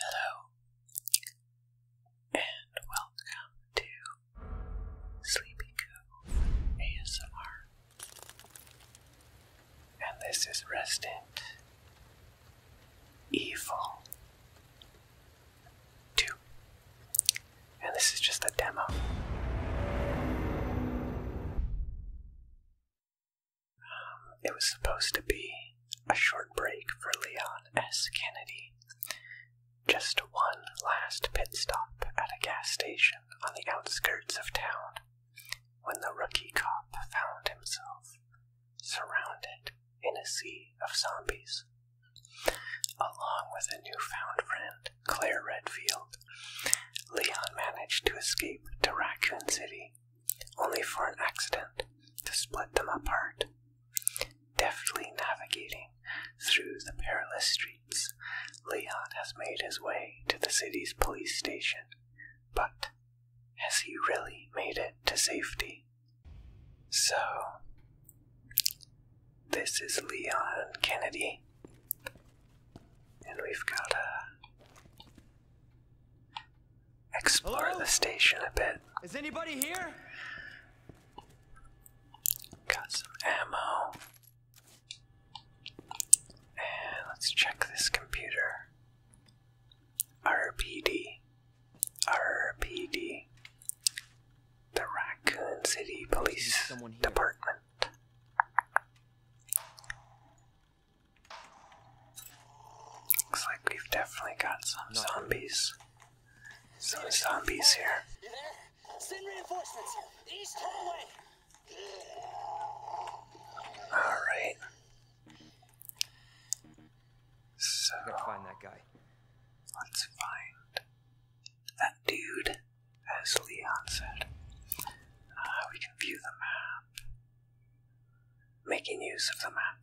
Hello, and welcome to Sleepy Cove ASMR. And this is Resident Evil 2. And this is just a demo it was supposed to be a short break for Leon S. Kennedy. Just one last pit stop at a gas station on the outskirts of town when the rookie cop found himself surrounded in a sea of zombies. Along with a newfound friend, Claire Redfield, Leon managed to escape to Raccoon City only for an accident to split them apart. Deftly navigating through the perilous streets, Leon has made his way to the city's police station. But has he really made it to safety? So, this is Leon Kennedy, and we've got a explore the station a bit. Is anybody here? Got some ammo. And let's check this computer. RPD. RPD. The Raccoon City Police Department. Looks like we've definitely got some zombies. Some zombies here. Send reinforcements. East hallway. All right. So I gotta find that guy. Let's find that dude, as Leon said. Uh, we can view the map. Making use of the map.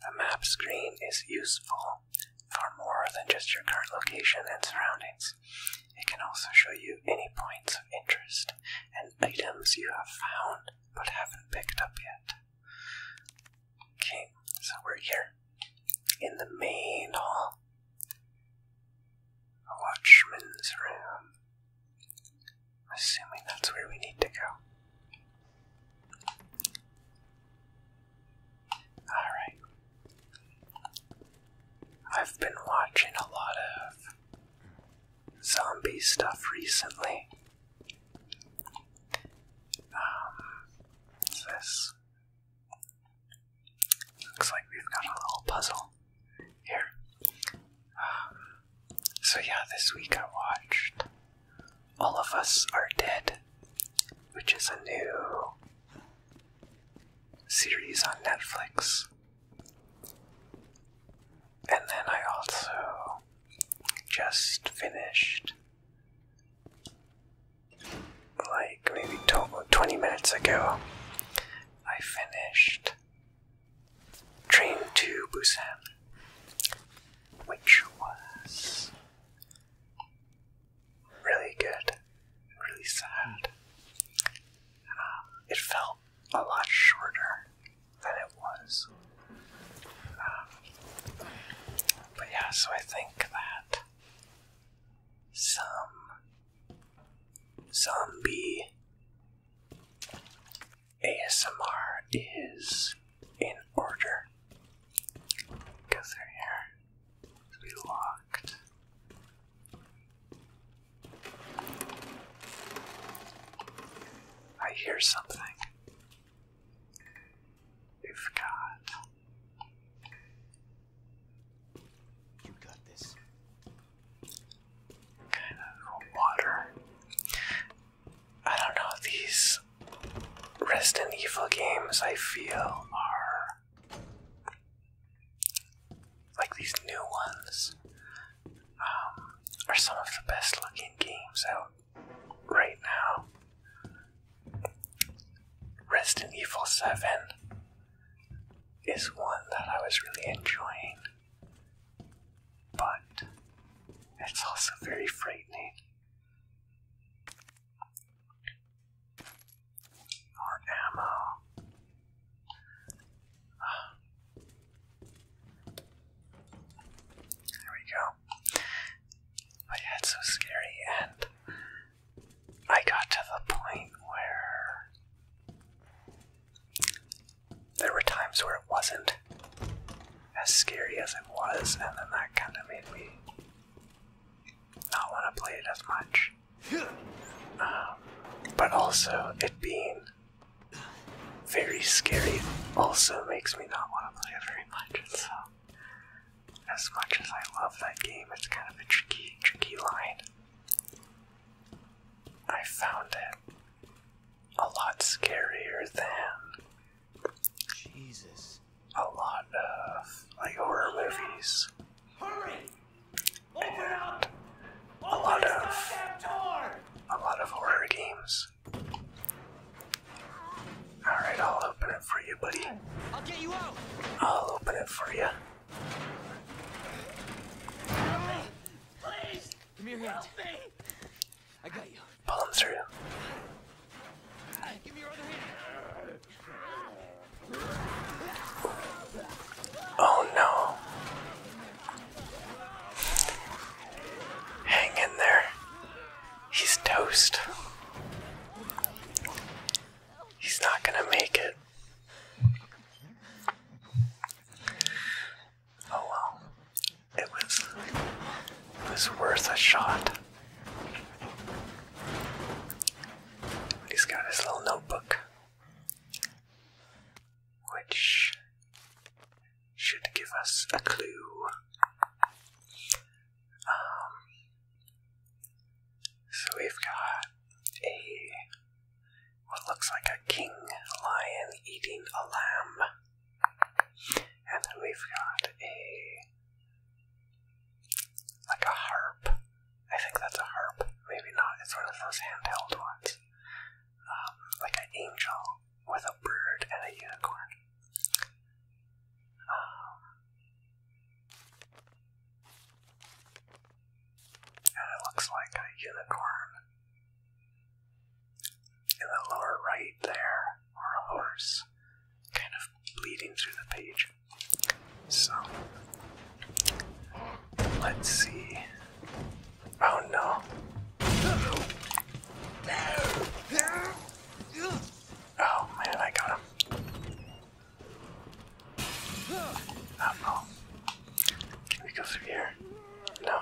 The map screen is useful for more than just your current location and surroundings. It can also show you any points of interest and items you have found but haven't picked up yet. Okay, so we're here in the main hall. The watchman's room. Assuming that's where we need to go. Alright. I've been watching a lot of zombie stuff recently. Um, this looks like we've got a little puzzle here so yeah, this week I watched All of Us Are Dead, which is a new series on Netflix. And then I also just finished, like maybe 20 minutes ago, I finished train to Busan, which was really good, really sad. Um, it felt a lot shorter than it was. Um, but yeah, so I think that some zombie ASMR is in order because they're here to be locked. I hear something. You've got. You got this water. I don't know, these Resident Evil games I feel are like these new ones um, are some of the best looking games out right now. Resident Evil 7 is one that I was really enjoying but it's also very frightening. More ammo. There we go. it's so scary, and I got to the point where there were times where it wasn't as scary as it was, and then that kind of made me not want to play it as much. Um, but also, it being very scary also makes me not want to play it very much. so, as much as I love that game, it's kind of a tricky, tricky line. I found it a lot scarier than Jesus. A lot of horror movies. Hurry! Open and Open a lot of a lot of horror games. Alright, I'll open it for you, buddy. I'll get you out. I'll open it for you. Please. Come here, hand. I got you. Pull him through. Give me your other hand. Oh no. Hang in there. He's toast. He's not gonna make it. Oh well, it was it was worth a shot. He's got his little notebook, which should give us a clue. Um, so we've got a what looks like a king lion eating a lamb. And then we've got a like a harp. I think that's a harp. Maybe not. It's one of those handheld ones. Um, like an angel with a bird and a unicorn. Um, it looks like a unicorn. In the lower right there, or a horse, kind of bleeding through the page. So, let's see. Oh no. Oh man, I got him. I Can we go through here? No.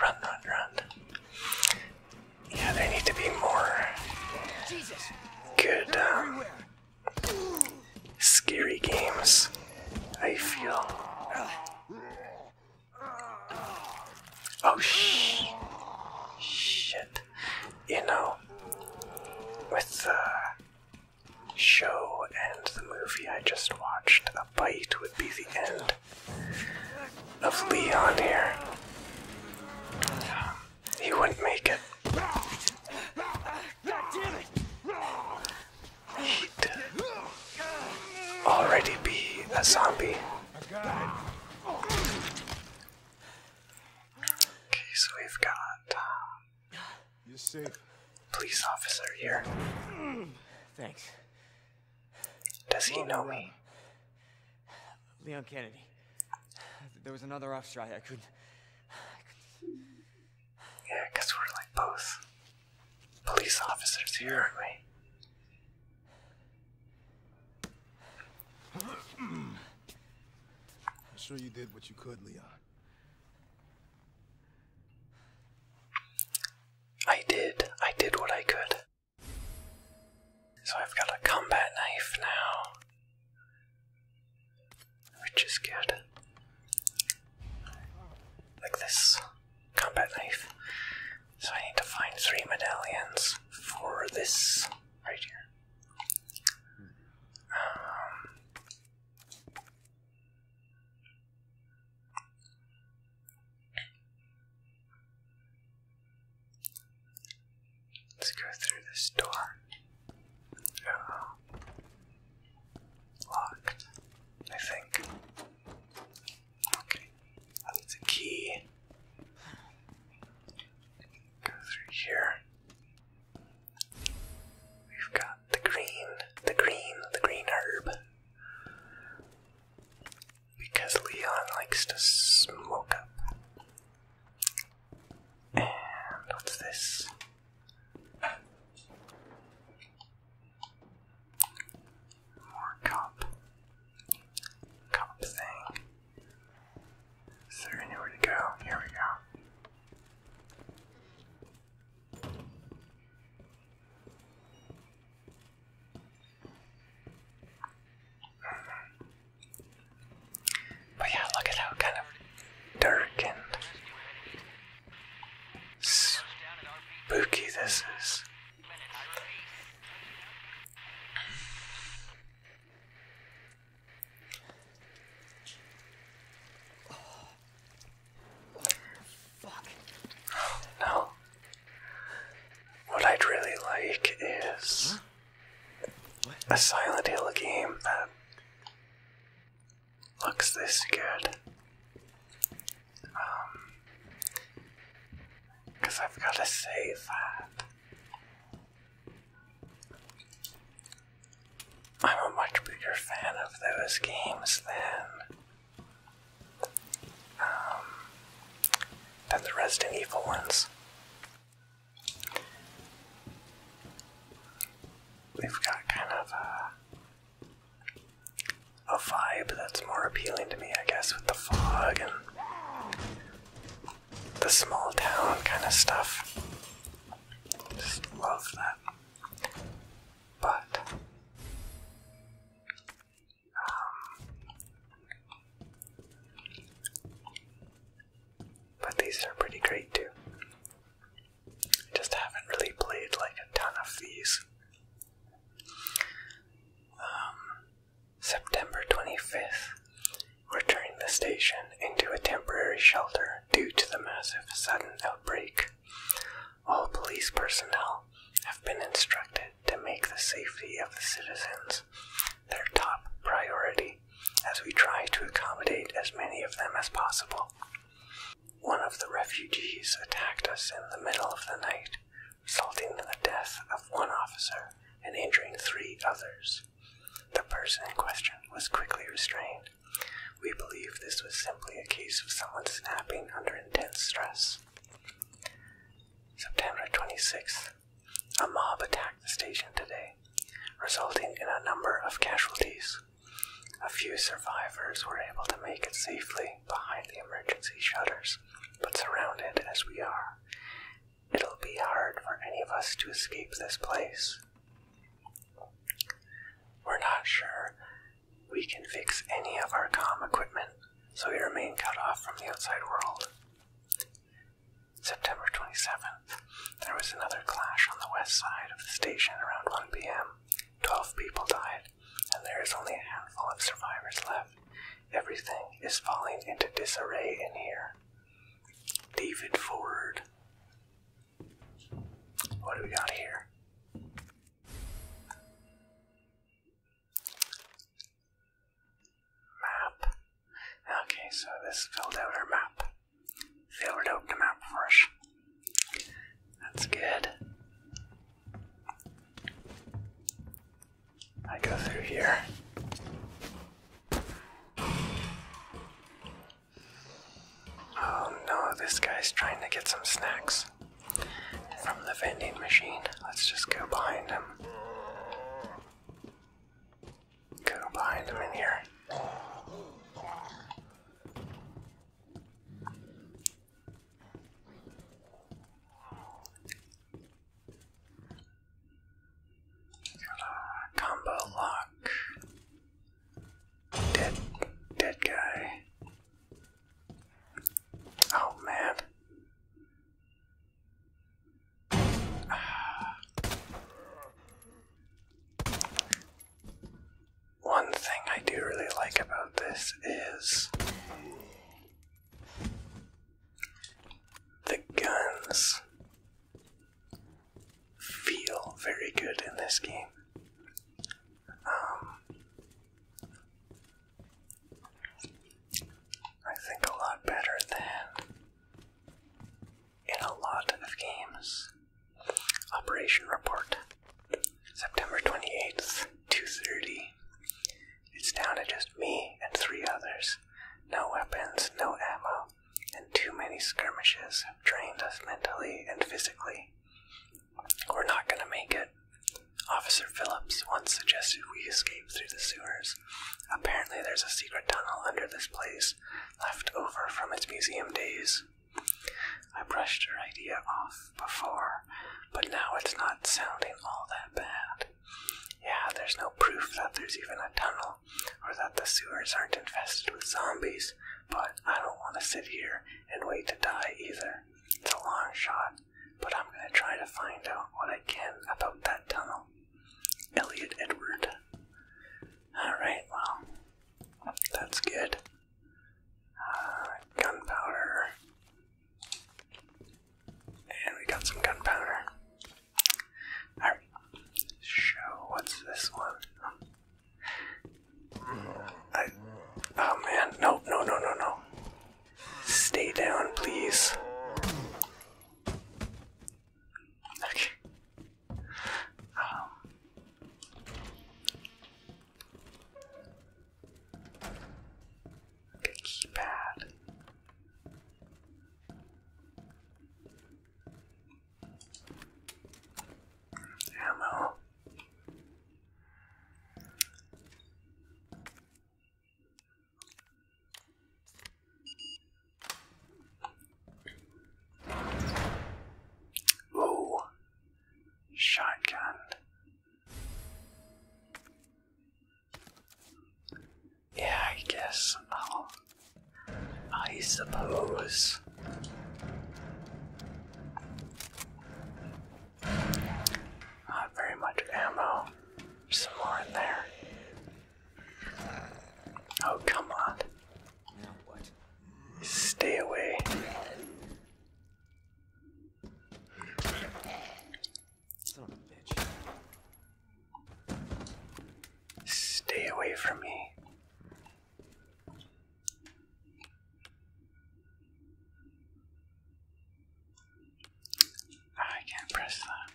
Run, run, run. Yeah, there need to be more good, um, scary games, I feel. Oh, sh shit. You know, with, uh, show and the movie I just watched, a bite would be the end of Leon here. He wouldn't make it. He'd already be a zombie. Okay, so we've got. Um, you're safe. Police officer here. Thanks. Does he know uh, me? Leon Kennedy. There was another off strike. I couldn't. Yeah, I guess we're like both police officers here, aren't we? I'm sure you did what you could, Leon. I did. I did what I could. So I've got a combat knife now. Which is good. Like this combat knife. So I need to find three medallions for this right here. Um, Let's go through this door. Uh, locked, I think. Okay, that needs a key. Go through here. We've got the green, the green, the green herb. Because Leon likes to smoke up. And what's this? More cup. Cup thing. Is anywhere to go? Here we go. But yeah, look at how kind of dark and spooky this is. Oh. what I'd really like is a Silent Hill game that looks this good. Um, because I've got to say that I'm a much bigger fan of those games than um, than the Resident Evil ones. we have got kind of a, a vibe that's more appealing to me, I guess, with the fog and the small town kind of stuff. Just love that. But um, but these are pretty great too. just haven't really played like a ton of these. Um, September 25th we're turning the station into a temporary shelter due to the massive sudden outbreak. All police personnel have been instructed to make the safety of the citizens their top priority as we try to accommodate as many of them as possible. One of the refugees attacked us in the middle of the night, resulting in the death of one officer and injuring three others. The person in question was quickly restrained. We believe this was simply a case of someone snapping under intense stress. September 26th. A mob attacked the station today, resulting in a number of casualties. A few survivors were able to make it safely behind the emergency shutters, but surrounded as we are, It'll be hard for any of us to escape this place. We're not sure we can fix any of our com equipment, so we remain cut off from the outside world. September 27th, there was another clash on the west side of the station around 1 p.m. Twelve people died, and there is only a handful of survivors left. Everything is falling into disarray in here. David Ford. What do we got here? Map. Okay, so this filled out our map. Filled out the map for That's good. I go through here. Oh no, this guy's trying to get some snacks from the vending machine. Let's just go behind him. Go behind him in here combo lock. Dead, dead guy. Oh man. One thing I do really like about this is the guns feel very good in this game. Um, I think a lot better than in a lot of games. Operation Report, September 28th, 2.30. It's down to just me and three others. No weapons, no ammo and too many skirmishes have trained us mentally and physically. We're not going to make it. Officer Phillips once suggested we escape through the sewers. Apparently, there's a secret tunnel under this place, left over from its museum days. I brushed her idea off before, but now it's not sounding all that bad. Yeah, there's no proof that there's even a tunnel or that the sewers aren't infested with zombies, but I don't want to sit here and wait to die either. It's a long shot, but I'm going to try to find out what I can about that tunnel. Elliot Edward. Alright, well, that's good. Uh, gunpowder. And we got some gunpowder. Show. What's this one? oh man. No, no, no, no, no. Stay down, please. Okay. Um. Okay, keypad. Ammo. Ooh, shotgun. Yeah, I guess i suppose. Not very much ammo. Some more in there. Oh, come on. Now what? Stay away. Son of a bitch. Stay away from me. Ah, I can't press that.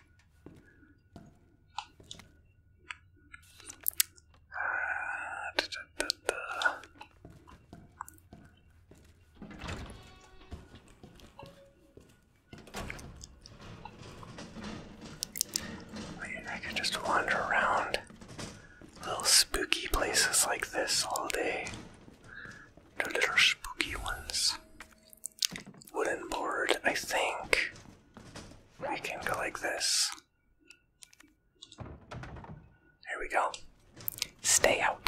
I, I could just wander around little spooky places like this all day. The little spooky ones. Wooden board, I think. I can go like this. There we go. Stay out.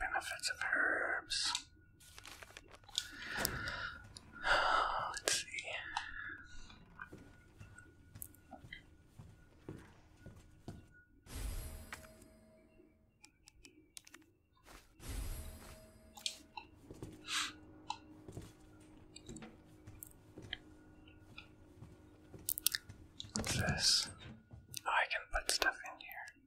Benefits of herbs. Let's see this? Oh, I can put stuff in here.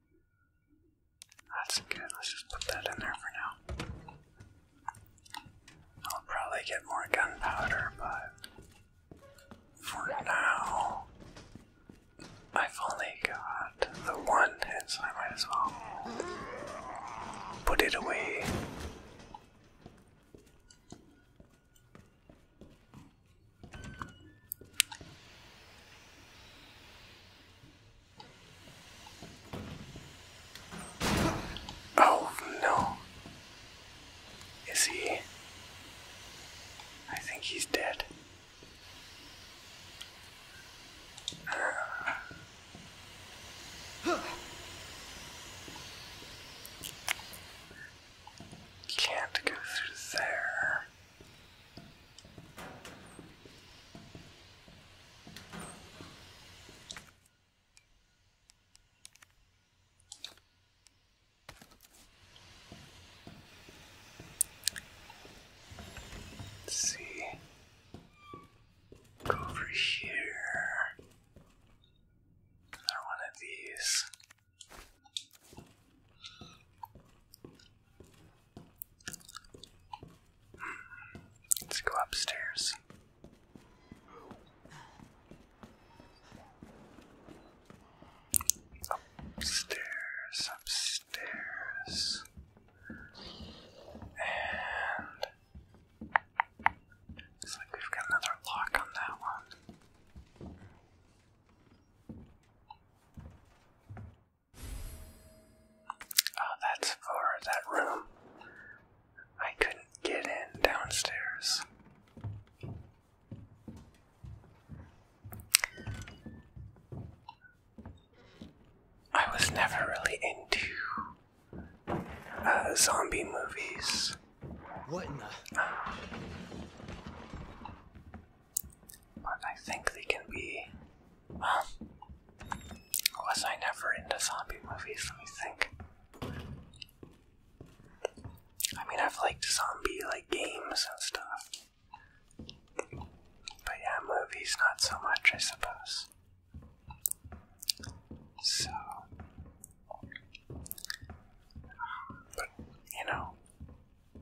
That's good. Let's just put that in there for now. I'll probably get more gunpowder, but for now, I've only got the one, so I might as well put it away Oh no. Is he? I think he's dead. Can't go through there. see. Go over here. Another one of these. Let's go upstairs. Upstairs, upstairs. And Looks like we've got another lock on that one. Oh, that's for that room. I couldn't get in downstairs. I was never really into uh, zombie movies. What in the? but I think they can be. Well, um, was I never into zombie movies? Let me think. I mean, I've liked zombie like games and stuff, but yeah, movies not so much, I suppose. So, but you know,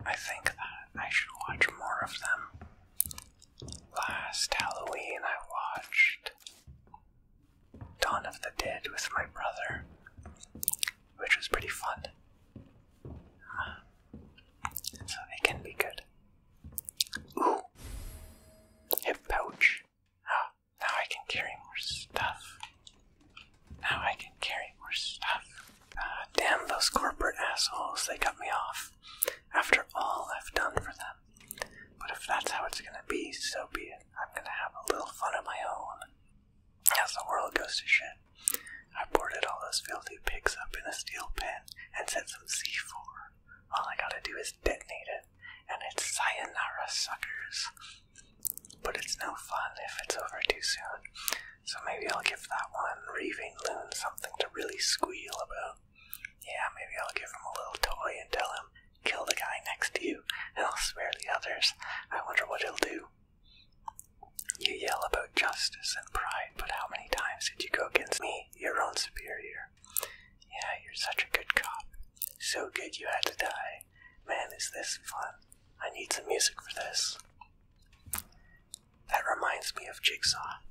I think that I should watch more of them. Last Halloween, I watched Dawn of the Dead with my brother, which was pretty fun. Uh, so they can be good. Ooh. Hip pouch. Oh, now I can carry more stuff. Now I can carry more stuff. Ah, damn those corporate assholes, they cut me off. After all I've done for them. But if that's how it's gonna be, so be it. I'm gonna have a little fun of my own. As the world goes to shit. I boarded all those filthy pigs up in a steel pen and set some C4 all I gotta do is detonate it, and it's sayonara, suckers. But it's no fun if it's over too soon, so maybe I'll give that one Raving Loon something to really squeal about. Yeah, maybe I'll give him a little toy and tell him, kill the guy next to you, and I'll spare the others. I wonder what he'll do. You yell about justice and pride, but how many times did you go against me, your own superior? Yeah, you're such a good cop. So good you had to die. Man, is this fun. I need some music for this. That reminds me of Jigsaw.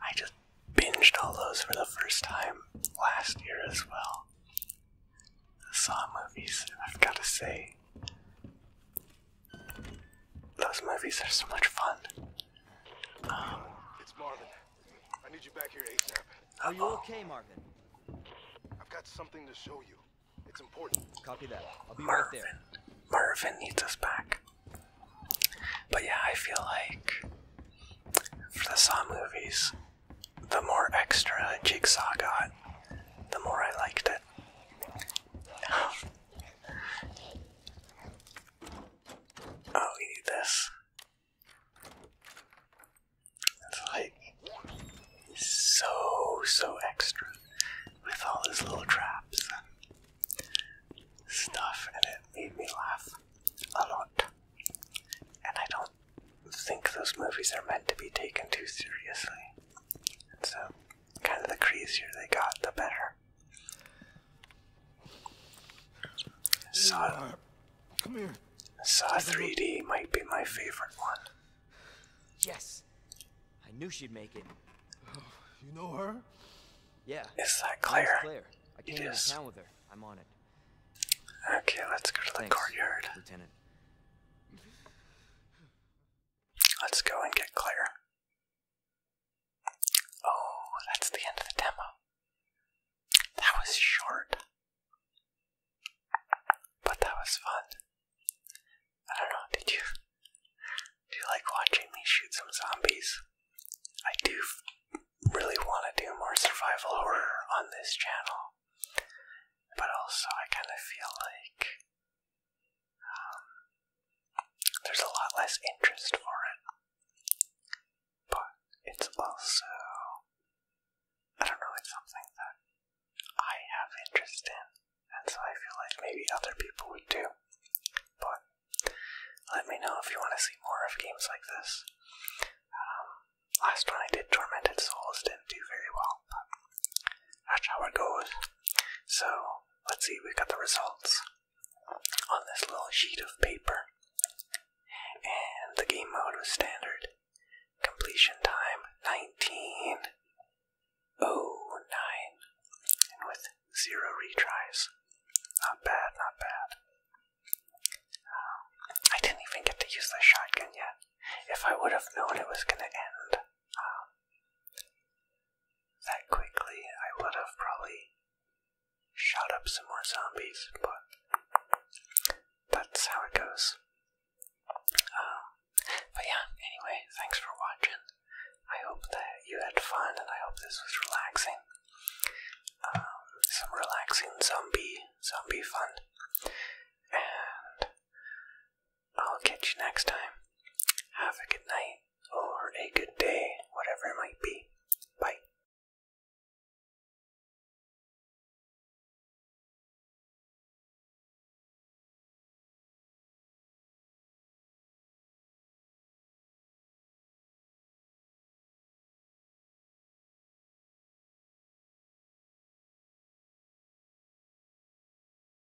I just binged all those for the first time last year as well. Saw movies, I've got to say, those movies are so much fun. it's Marvin. I need you back here Ace. Are you okay, Marvin? I've got something to show you. It's important. Copy that. I'll be Marvin. right there. Marvin needs us back. But yeah, I feel like for the Saw movies, the more extra Jigsaw got, the more I liked it. Oh, we need this. It's like so, so extra with all these little traps and stuff, and it made me laugh a lot. And I don't think those movies are meant to be taken too seriously. so, kind of the crazier they got, the better. Saw, uh, Come here. Saw 3D might be my favorite one. Yes, I knew she'd make it. Oh, you know her? Yeah. Is that Claire? Claire. I came it with her. I'm on it. Okay, let's go to the Thanks, courtyard. Lieutenant. Let's go and get Claire. Oh, that's the end of the demo. That was short. But that was fun. I don't know, did you do you like watching me shoot some zombies? I do really want to do more survival horror on this channel. But also I kind of feel like there's a lot less interest for it. But it's also, I don't know, it's something that I have interest in, and so I feel like maybe other people would too. But let me know if you want to see more of games like this. Um, last one I did, Tormented Souls, didn't do very well, but that's how it goes. So, let's see, we've got the results on this little sheet of paper. And the game mode was standard. Completion time 1909. And with zero retries. Not bad, not bad. Um, I didn't even get to use the shotgun yet. If I would have known it was going to end um, that quickly, I would have probably shot up some more zombies, but that's how it goes. Um, but yeah, anyway, thanks for watching. I hope that you had fun and I hope this was relaxing. Um, some relaxing zombie, zombie fun. And I'll catch you next time. Have a good night or a good day, whatever it might be. Bye.